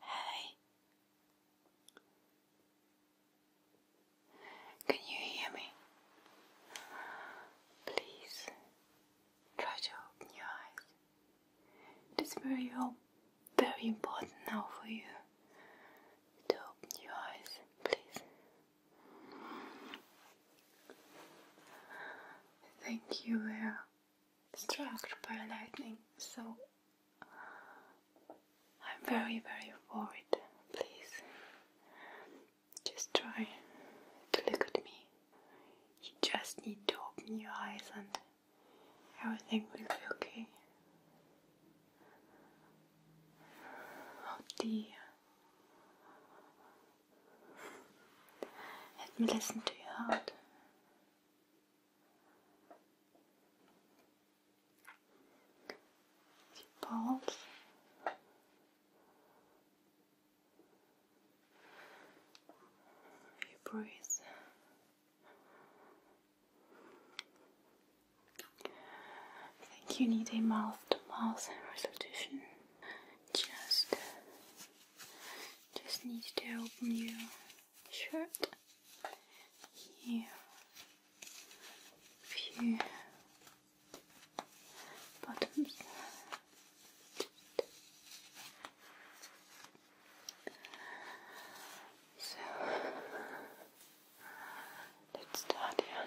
Hey. Can you hear me? Please try to open your eyes. It is very, very important now for you to open your eyes, please. Thank you, Vera struck by lightning, so I'm very, very worried. Please, just try to look at me. You just need to open your eyes and everything will be okay. Oh dear. Let me listen to your heart balls. You breathe. I think you need a mouth-to-mouth -mouth Just, just need to open you shirt here few bottoms so let's start here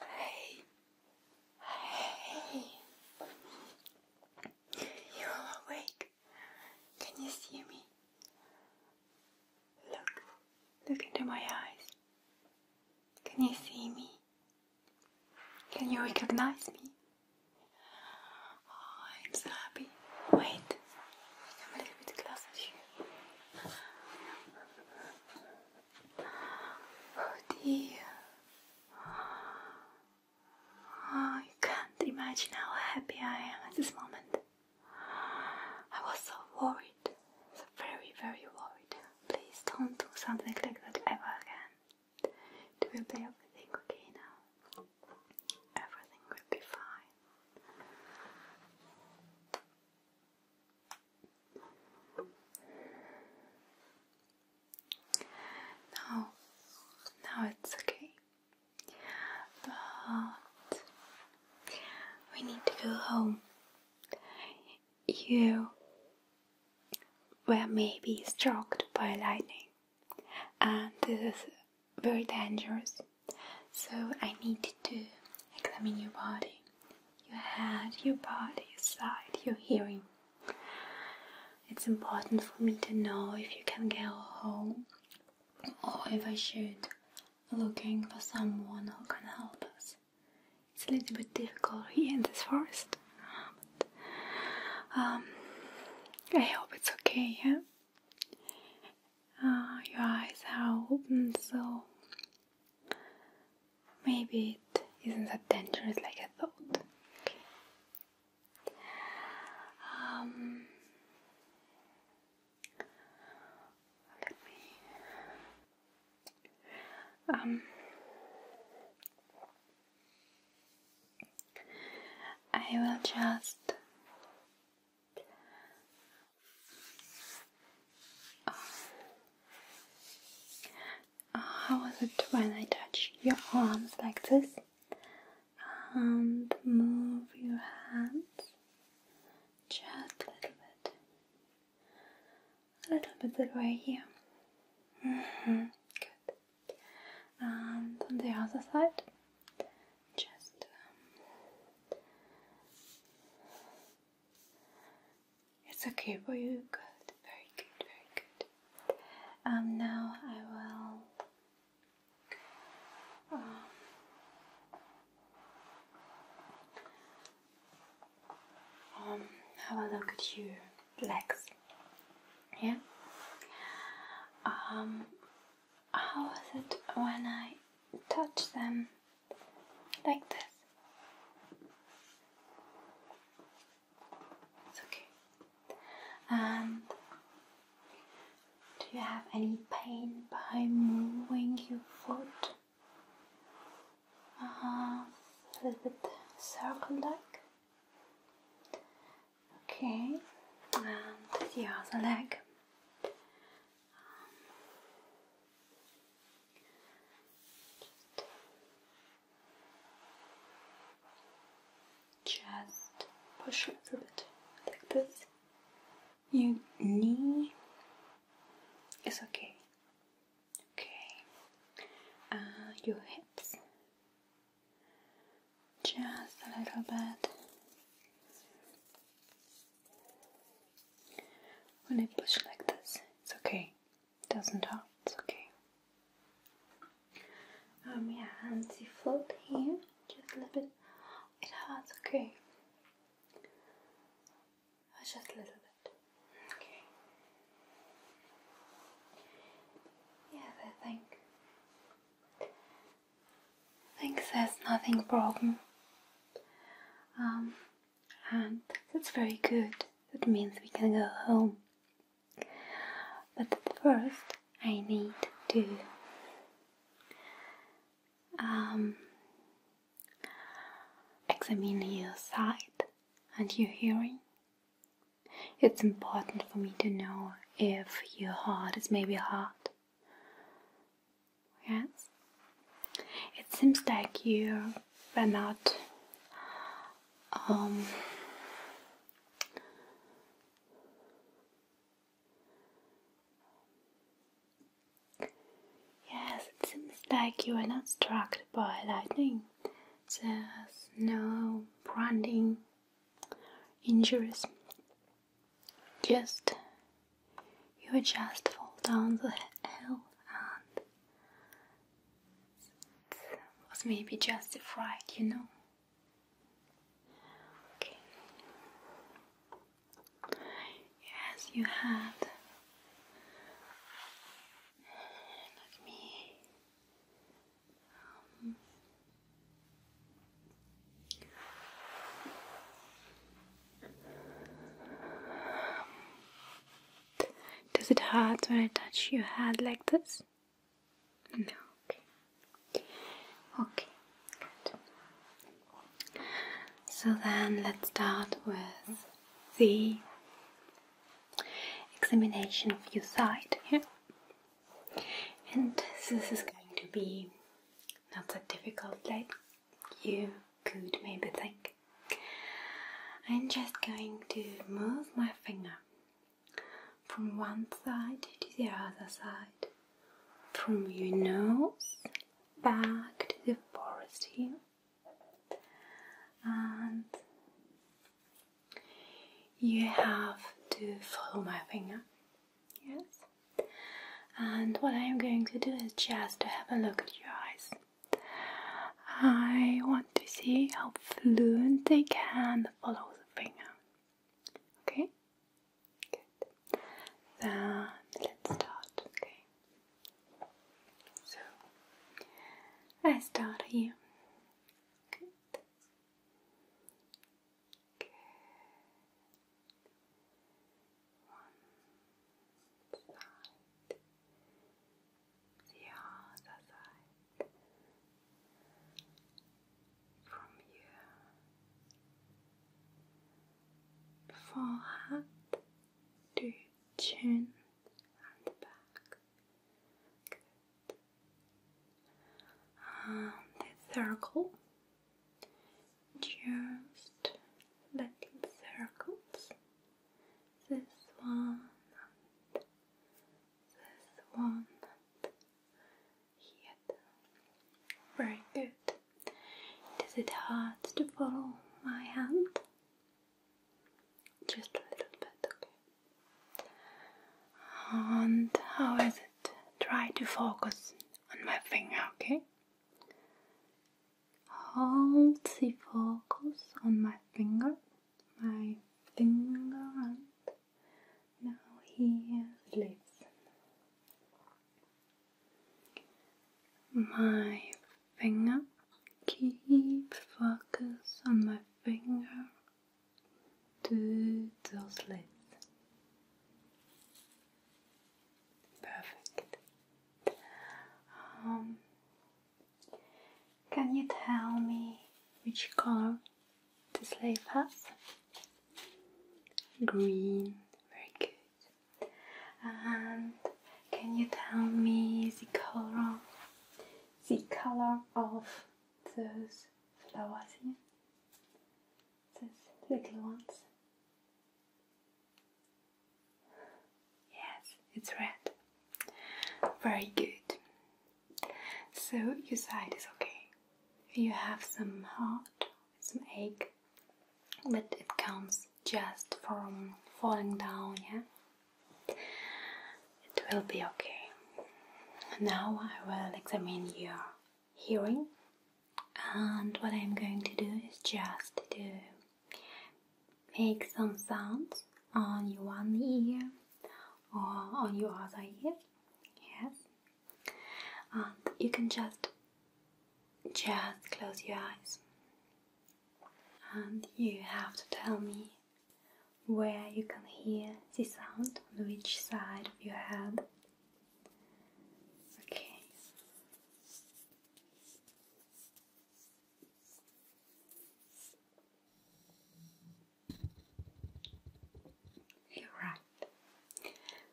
Hey, hey, you're awake. Can you see me? Look, look into my eyes. Can you see me? Can you recognize me? Oh, I'm so happy. Wait, i Oh dear. Oh, can't imagine how happy I am at this moment. I was so worried, so very, very worried. Please don't do something like that ever again. It will be everything okay now. Everything will be fine. Now, now it's okay, but we need to go home. You were maybe struck by lightning, and this is very dangerous. So I need to examine your body, your head, your body, your sight, your hearing. It's important for me to know if you can get home or if I should looking for someone who can help us. It's a little bit difficult here in this forest. Um, I hope it's okay, yeah? Uh, your eyes are open, so maybe it isn't that dangerous like I thought. Um, let me. Um, I will just uh, how was it when I touch your arms like this and um, move your hands just a little bit, a little bit that way here? Mm -hmm. Good. And on the other side, just um, it's okay for you. Good, very good, very good. Um, now I will. Um, um, have a look at your legs. Yeah. Um, how was it when I touched them like this? It's okay. And do you have any pain by moving your foot? Uh-huh. a little bit circle like. Okay, and the other leg. Um, just, just push a little bit like this. Your knee It's okay. Okay. Uh, your hips. Just a little bit. When I push like this, it's okay. It doesn't hurt, it's okay. Um, yeah, and the float here, just a little bit. It hurts, okay. Oh, just a little bit. Okay. Yes, I think. I think there's nothing broken. Um, and that's very good. That means we can go home. But first, I need to um, examine your sight and your hearing. It's important for me to know if your heart is maybe hard Yes? It seems like you were not um, Yes, it seems like you were not struck by lightning. There's no branding injuries just you just fall down the hill and it was maybe just a fright, you know. Okay. Yes, you had. Let me. Um, does it hurt when I touch your head like this? No, okay. Okay, good. So then let's start with the examination of your side Yeah? And this is going to be not that difficult like you could maybe think. I'm just going to move my finger from one side to the other side, from your nose back to the forest here, and you have to follow my finger. Yes, and what I am going to do is just to have a look at your eyes. I want to see how fluent they can follow the finger. Okay? Good. Then let's start. Okay. So I start here. Good. Good. One side, the other side. From your forehead to chin and back. Good. the circle just little circles. This one and this one and here. Very good. Is it hard to follow my hand? Just a little bit, okay. And how is it? Try to focus on my finger, okay? Hold the focus on my finger, my finger and now here lips. My finger, keep focus on my finger to those lips. Perfect. Um, can you tell me which color the slave has? Green. Very good. And can you tell me the color, the color of those flowers here? Those little ones. Yes, it's red. Very good. So your side is okay. You have some heart, some ache, but it comes just from falling down, yeah? It will be okay. Now I will examine your hearing and what I'm going to do is just to make some sounds on your one ear or on your other ear yes and you can just just close your eyes and you have to tell me where you can hear the sound on which side of your head Okay. You're right.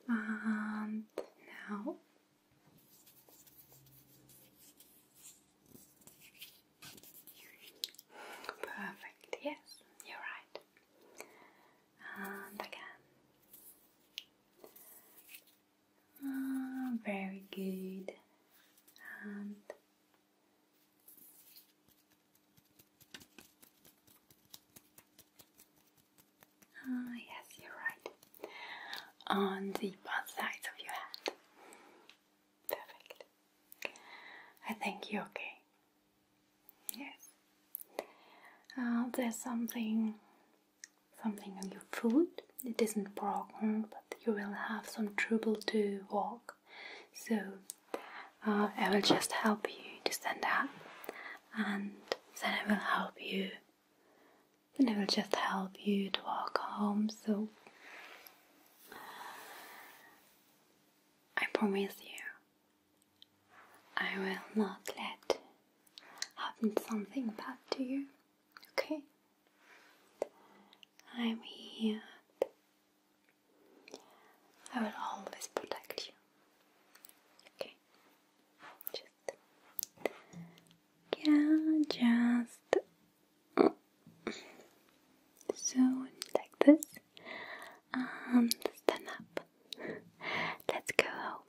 And now perfect. Yes, you're right. And again. Ah, very good. And ah, yes, you're right. On the both sides of your head. Perfect. I think you're okay. Yes. Uh, there's something, something on your foot. It isn't broken, but you will have some trouble to walk. So uh, I will just help you to stand up, and then I will help you. Then I will just help you to walk home. So I promise you, I will not let happen something bad to you, okay? I'm here. I will always protect you. Okay? Just. Yeah, just. Mm, so, like this. And um, stand up. Let's go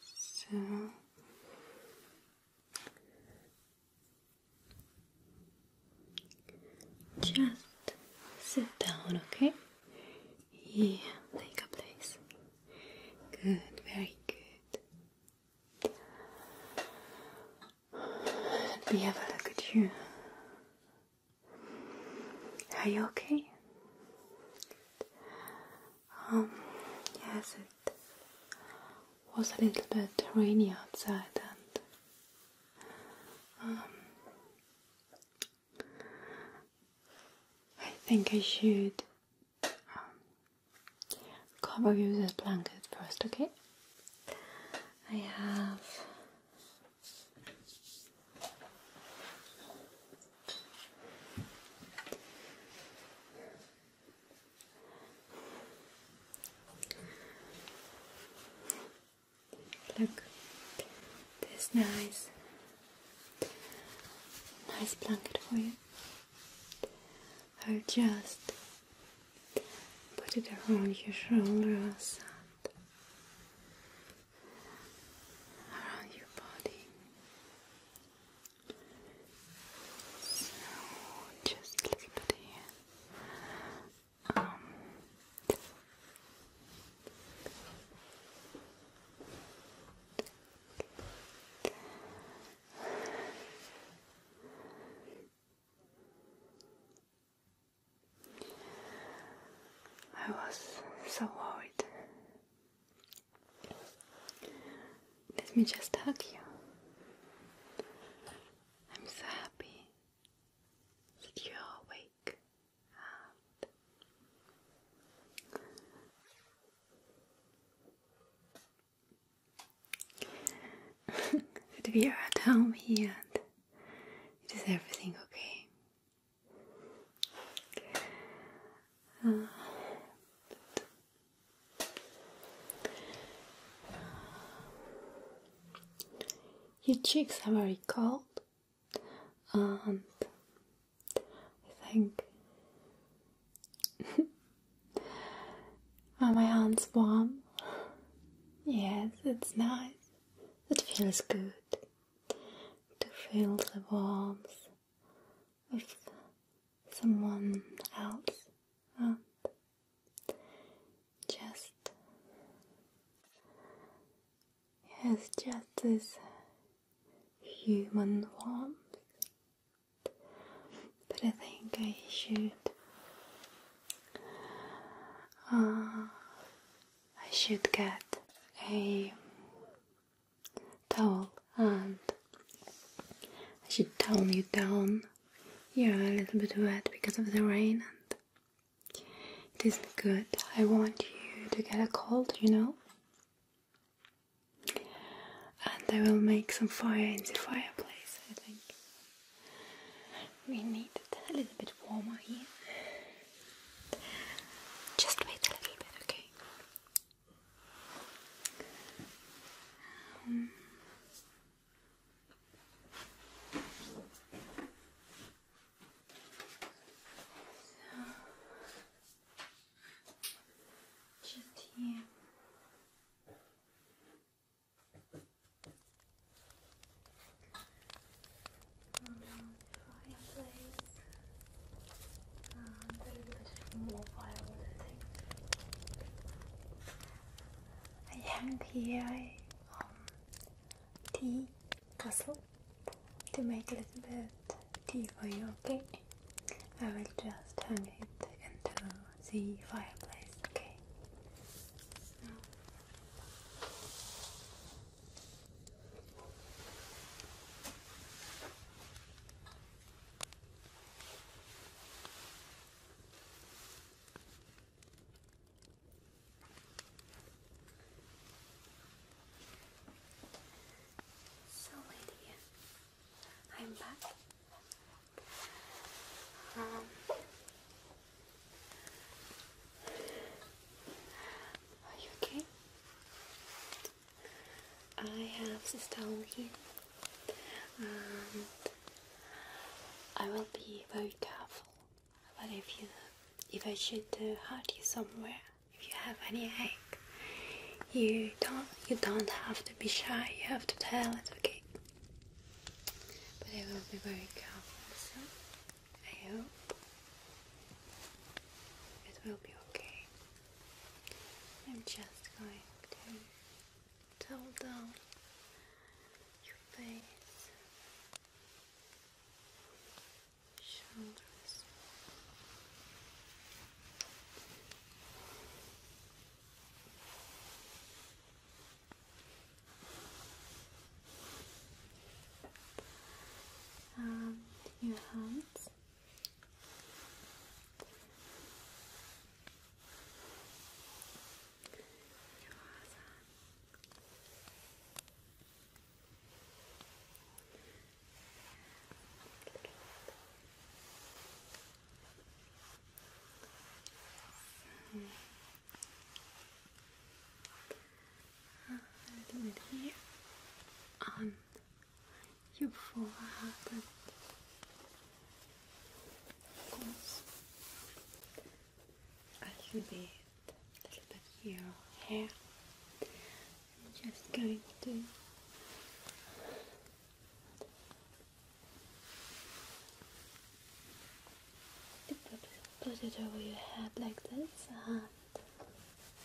So just sit down, okay? Yeah, take a place. Good, very good. Let me have a look at you. Are you okay? Um, yes, it was a little bit rainy outside, and um, I think I should um, cover you with a blanket first, okay? I have Look, this nice, nice blanket for you. I'll just put it around your shoulders around your body. So just a little bit um, I was so worried let me just hug you. I'm so happy that you're awake. And that we are at home here and it is everything okay. Uh, your cheeks are very cold, and I think are my hands warm? Yes, it's nice. It feels good to feel the warmth with someone else just yes, just this human warmth. But I think I should. Uh, I should get a towel and I should tone you down. You're a little bit wet because of the rain and it isn't good. I want you to get a cold, you know? And I will make some fire in the fireplace, I think. We need a little bit warmer here. Just wait a little bit, okay? just here. I hang here um, tea castle to make a little bit tea for you, okay? I will just hang it into the fireplace, okay? So, my I'm back. Um, are you okay? I have this towel here and I will be very careful but if you if I should hurt you somewhere if you have any ache you don't you don't have to be shy you have to tell it okay but I will be very careful so I hope it will be okay. I'm just going to towel down your face, shoulders. And um, your hands. So, a little bit here on you forehead and of a little bit, a little bit your hair. I'm just going to Put it over your head like this and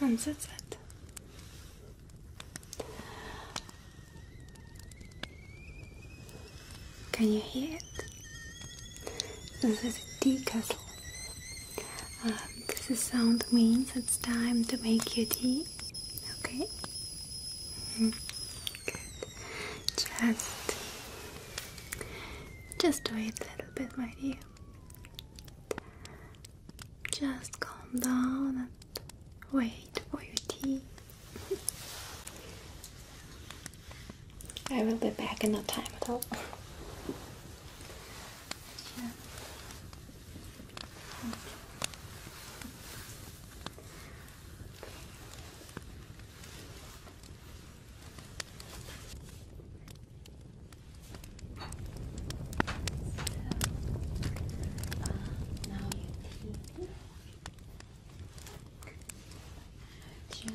And that's it. Can you hear it? This is a tea kettle. Um, this sound means it's time to make your tea. Okay. Mm-hmm. Good. Just, just wait a little bit, my dear. Just calm down and wait for your tea. I will be back in no time at all. Yeah. So, uh, now you pee. Just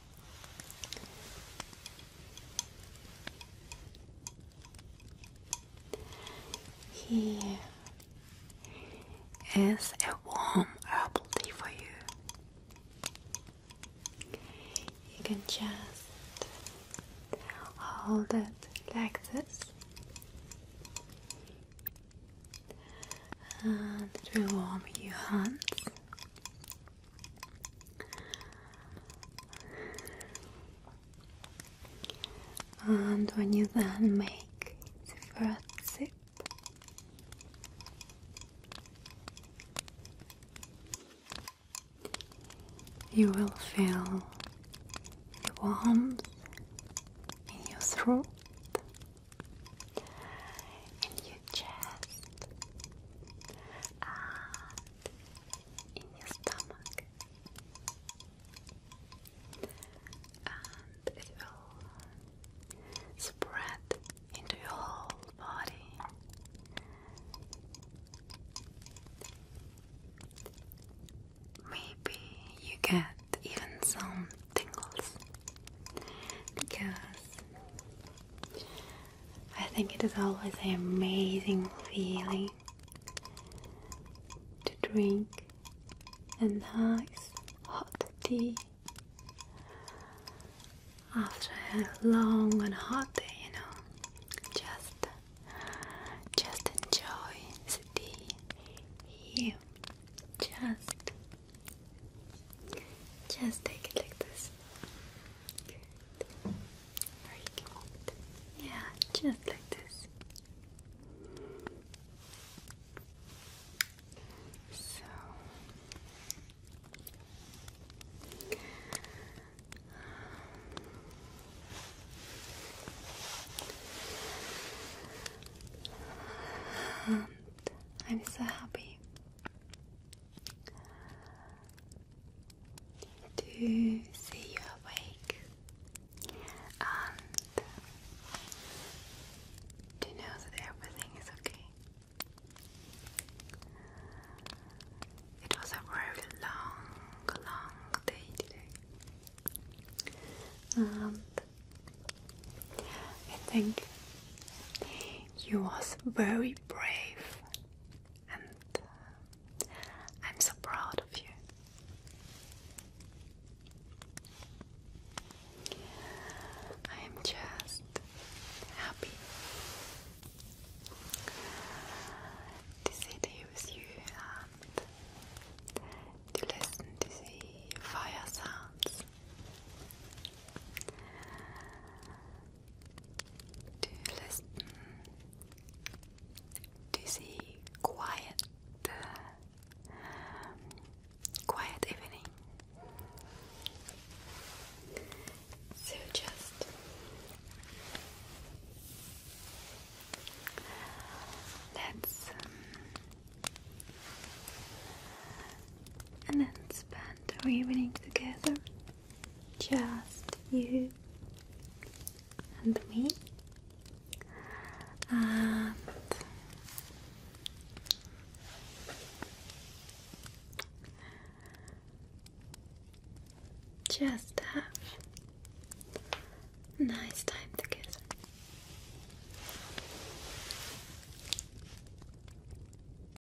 Here is a warm herbal tea for you. You can just hold it like this, and it warm your hands. And when you then make the first sip, you will feel the warmth in your throat and your chest and in your stomach and it will spread into your whole body maybe you get even some tingles because I think it is always an amazing feeling to drink a nice hot tea after a long and hot day, you know. Just just enjoy the tea here. Just just take it like this. Very good. Yeah, just like this. So I'm so happy to see you awake and to know that everything is okay. It was a very long, long day today. And I think you was very brave and uh, I'm so proud of you. I'm just happy to sit here with you and to listen to the fire sounds to listen, mm, to see quiet, uh, quiet evening. So just let's um, and then spend our evening together. Just you and me, and just a nice time to kiss.